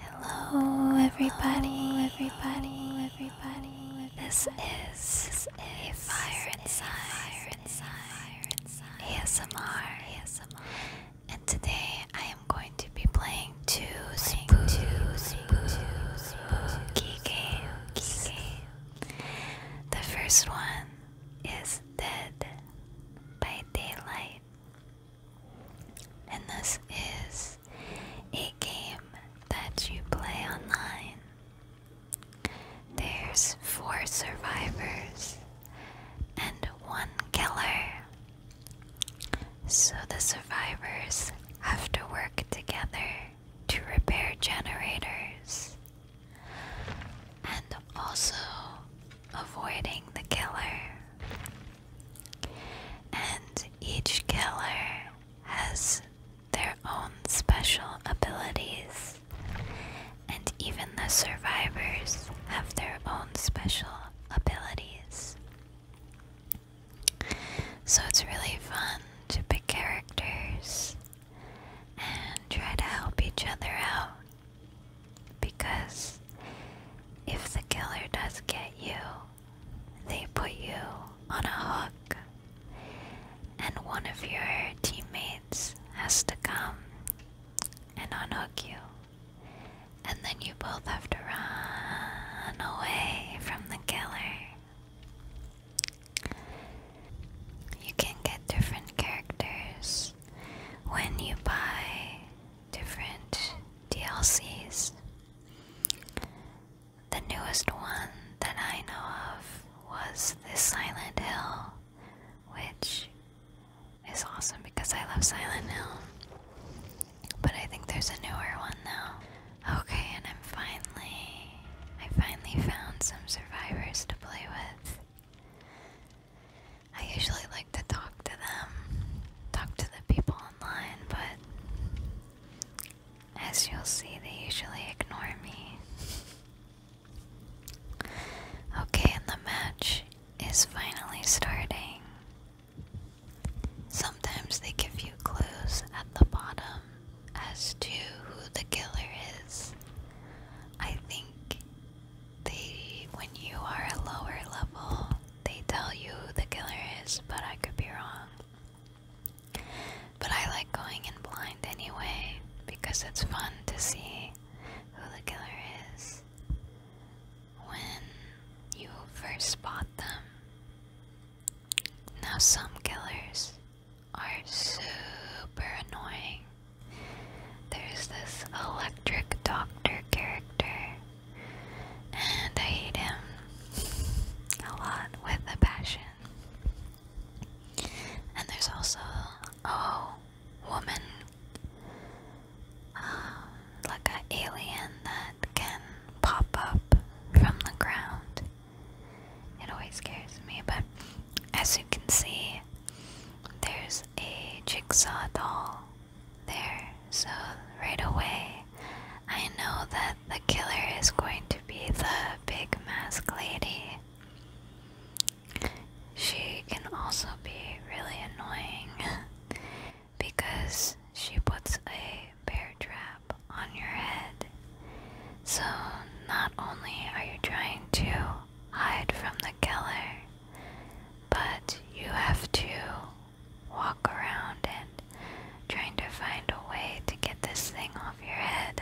Hello, everybody, everybody, everybody. This is a fire inside, ASMR, ASMR, and today I am going to be playing two spooky games. The first one is Dead by Daylight. And this is a game that you play online. There's four survivors and one killer. So the survivors have to work together to repair generators and also avoiding the killer and each killer has their own special abilities, and even the survivors have their own special abilities. So it's really fun to pick characters and try to help each other out because if the killer does get you, they put you on a hook, and one of your teammates has to come and unhook you, and then you both have to run away from the killer. You can get different characters when you buy different DLCs. The newest one that I know of was this Silent Hill, which is awesome because I love Silent Hill. But I think there's a newer one now. Okay, and I'm finally I finally found some survivors to play with. I usually like to talk to them, talk to the people online, but as you'll see, they usually ignore me. Okay, and the match is finally starting. Sometimes they give you clues at the bottom as to who the killer is. I think they when you are a lower level, they tell you who the killer is, but I could be wrong. But I like going in blind anyway because it's fun to see who the killer is when you first spot them. Now, some killers are super annoying. There's this electric doctor character, and I hate him a lot with a passion. And there's also a woman, um, like an alien that can pop up from the ground. It always scares me, but as you can see, there's a jigsaw doll there, so right away I know that the killer is going to be the big mask lady. She can also be really annoying because she puts a bear trap on your head. So, not only are you trying to hide from the killer, but you have to walk around and trying to find a way to get this thing off your head.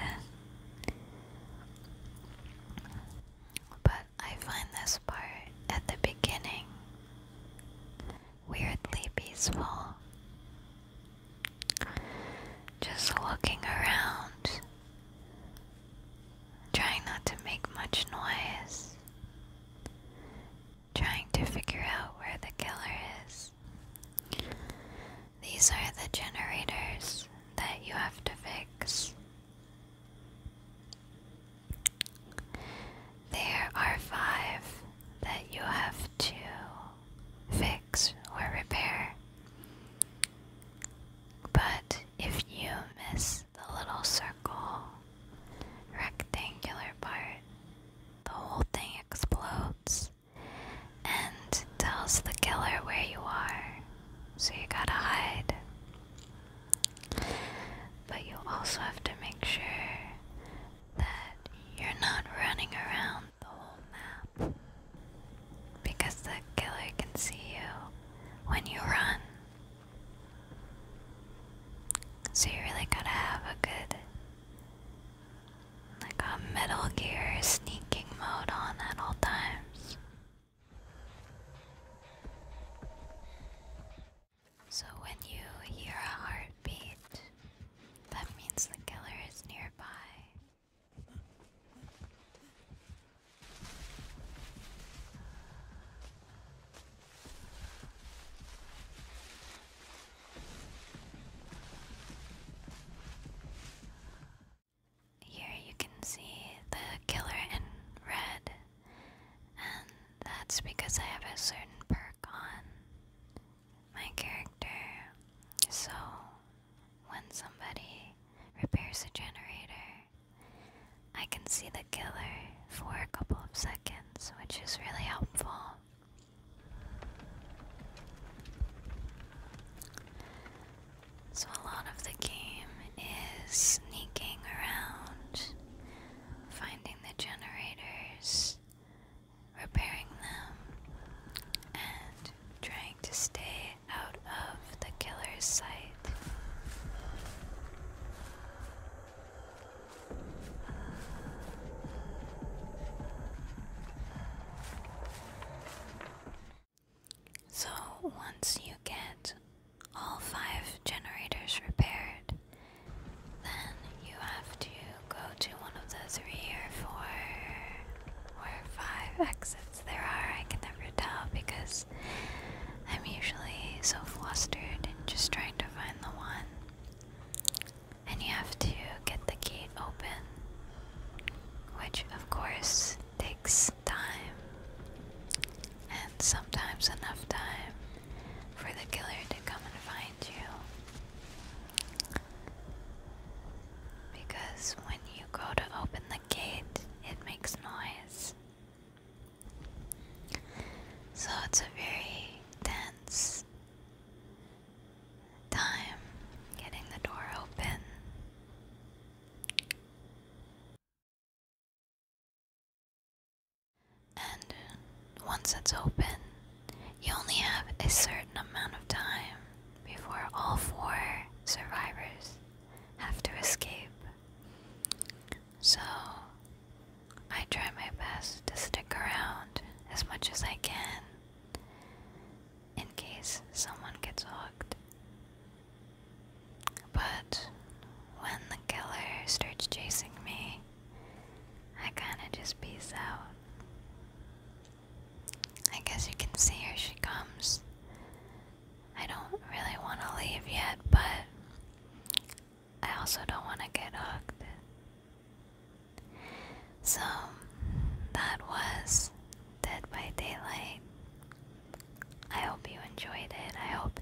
But I find this part at the beginning weirdly peaceful. Just looking around, Trying not to make much noise. Trying to figure out where the killer is. These are the generators that you have to fix. There are five that you have to fix or repair, but if you miss the little circle, rectangular part, the whole thing explodes and tells the killer where you are, so you gotta hide. But you also have to make sure that you're not running around the whole map because the killer can see you when you run. So you really gotta have a good, like a Metal Gear sneaking mode on at all times. So when you hear a heartbeat, that means the killer is nearby. Here you can see the killer in red, and that's because I have a certain perk on my character. So when somebody repairs a generator, I can see the killer for a couple of seconds, which is really helpful. So, a lot of the game is sneaking around, finding the generators, repairing them, and trying to stay out of the killer's sight. So, once you get all five generators repaired, then you have to go to one of those three or four or five exits there are. I can never tell because I'm usually so flustered just trying to find the one. And you have to get the gate open, which of course takes time, and sometimes enough time for the killer to come and find you. Because when you go to open the gate, it makes noise. So it's a very tense time getting the door open. And once it's open, you only have a certain amount of time before all four survivors have to escape. So, I try my best to stick around as much as I can in case someone gets hooked. But when the killer starts chasing me, I kinda just peace out. I guess you can see here she comes. I don't really want to leave yet, but I also don't want to get hooked. So, that was Dead by Daylight. I hope you enjoyed it. I hope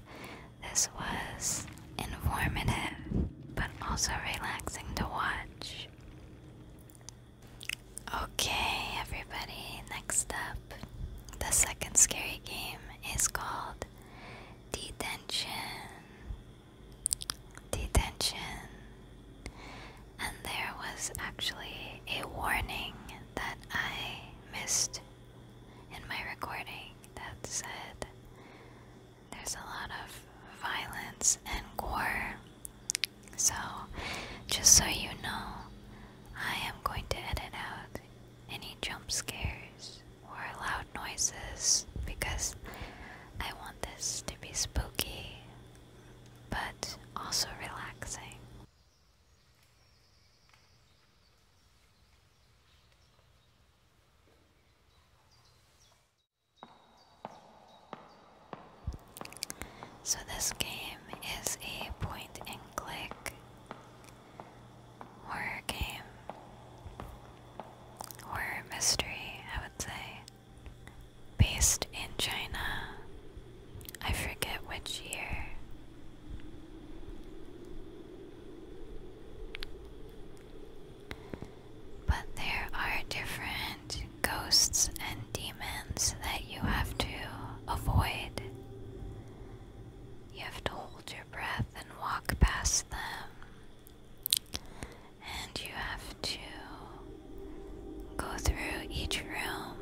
this was informative, but also relaxing to watch. Okay, everybody, next up, the second scary game is called Detention. Detention. And there was actually a warning that I missed in my recording that said there's a lot of violence and gore. So, just so you know, I am going to edit out any jump scares or loud noises because I want this to be spooky but also relaxing. So, this game is a point and click horror game, horror mystery, I would say, based in China. I forget which year. But there are different ghosts and demons that you have to avoid. You have to hold your breath and walk past them. And you have to go through each room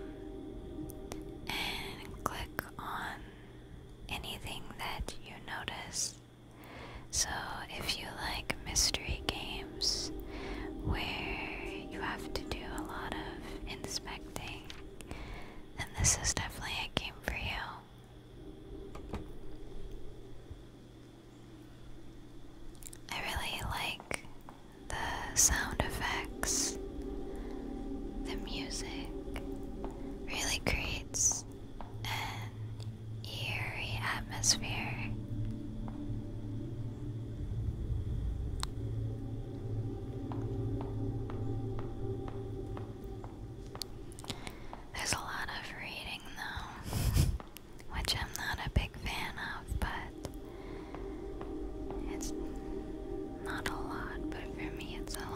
and click on anything that you notice. So, if you like mystery games where you have to do a lot of inspecting, then this is definitely a game for you. I really like the sound effects, the music really creates an eerie atmosphere. There's a lot of reading though, which I'm not a big fan of, but it's not a lot, but for me it's a lot.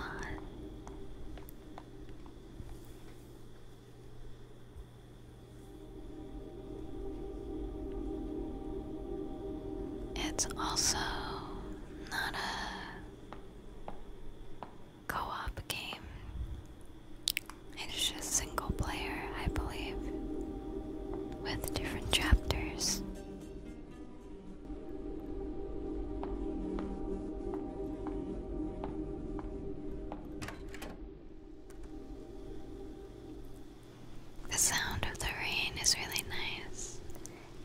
It's also not a co op game, it's just single player, I believe, with different chapters. The sound of the rain is really nice,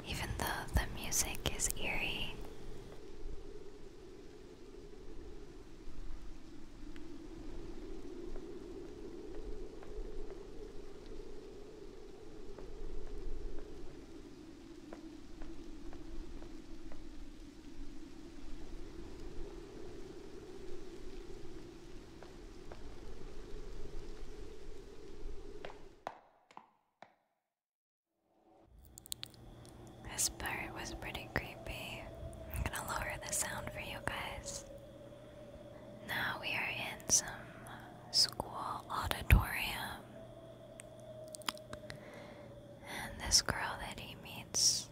even though the music is eerie. This part was pretty creepy. I'm gonna lower the sound for you guys. Now we are in some school auditorium. And this girl that he meets,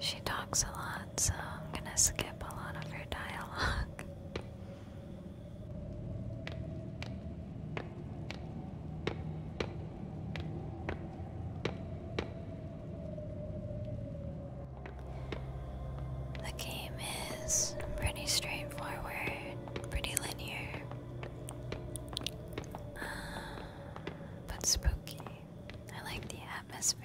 she talks a lot, so I'm gonna skip a lot of her dialogue. The game is pretty straightforward, pretty linear. but spooky. I like the atmosphere.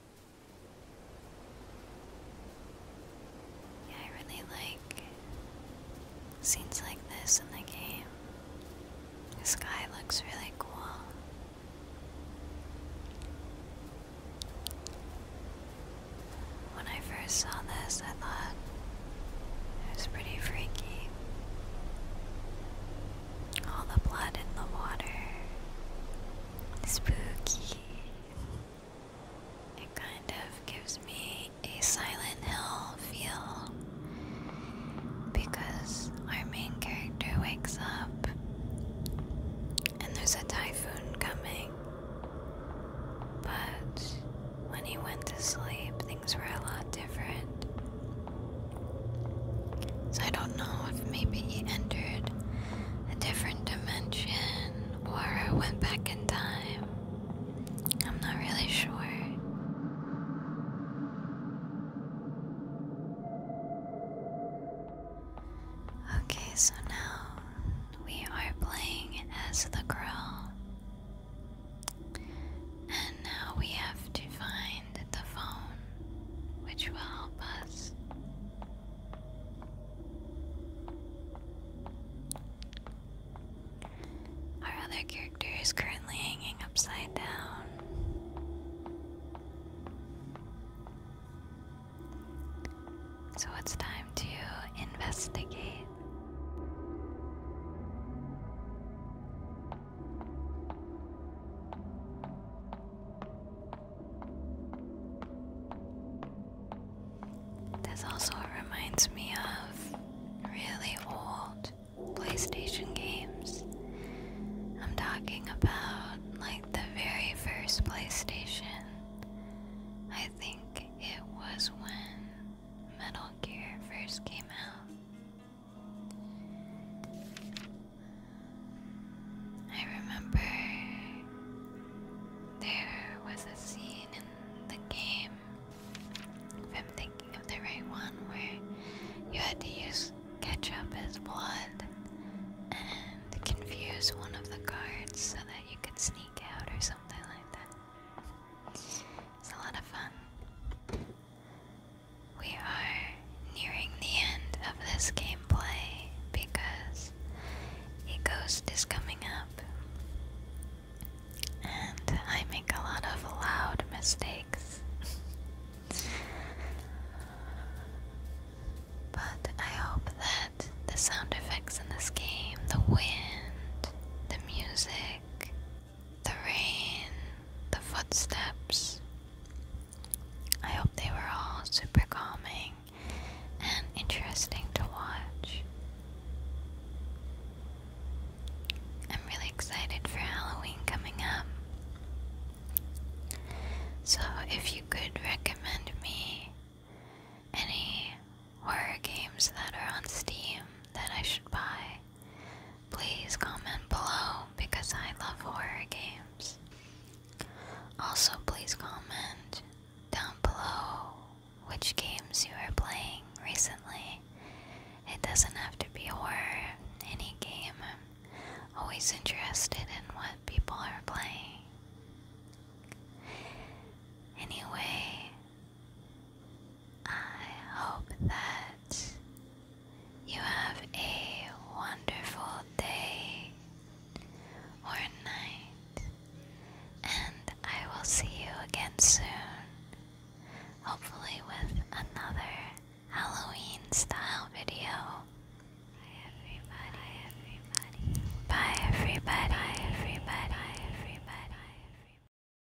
Yeah, I really like scenes like this in the game. The sky looks really cool. When I first saw this, I thought it was pretty freaky. All the blood in the water. Spooky. It kind of gives me a Silent Hill feel because our main character wakes up and there's a typhoon coming. But when he went to sleep, things were a lot different. So I don't know if maybe he entered a different dimension or I went back in time. I'm not really sure. Okay, so now we are playing as the girl. And now we have to find the phone, which will help us. Our other character is currently hanging upside down. So it's time to investigate. This also reminds me of really old PlayStation games. I'm talking about like the very first PlayStation. I think it was when Metal Gear first came out. I remember there was a scene in the game, if I'm thinking of the right one, where you had to use ketchup as blood and confuse one of the guards so that you could sneak out or something like that. It's a lot of fun. We are nearing the end of this gameplay because a ghost is coming up. And I make a lot of loud mistakes. but I hope that the sound effects in this game, the wind, the music, the rain, the footsteps. I hope they were all super calming and interesting to watch. I'm really excited for Halloween coming up. So, if you could recommend me any horror games that are on Steam that I should buy, Please comment below because I love horror games. Also, please comment down below which games you are playing recently. It doesn't have to be horror, any game. I'm always interested in what people are playing. Anyway, I hope that you have a wonderful day or night, and I will see you again soon, hopefully, with another Halloween style video. Bye, everybody. Bye, everybody. Bye, everybody. Bye, everybody. Bye, everybody.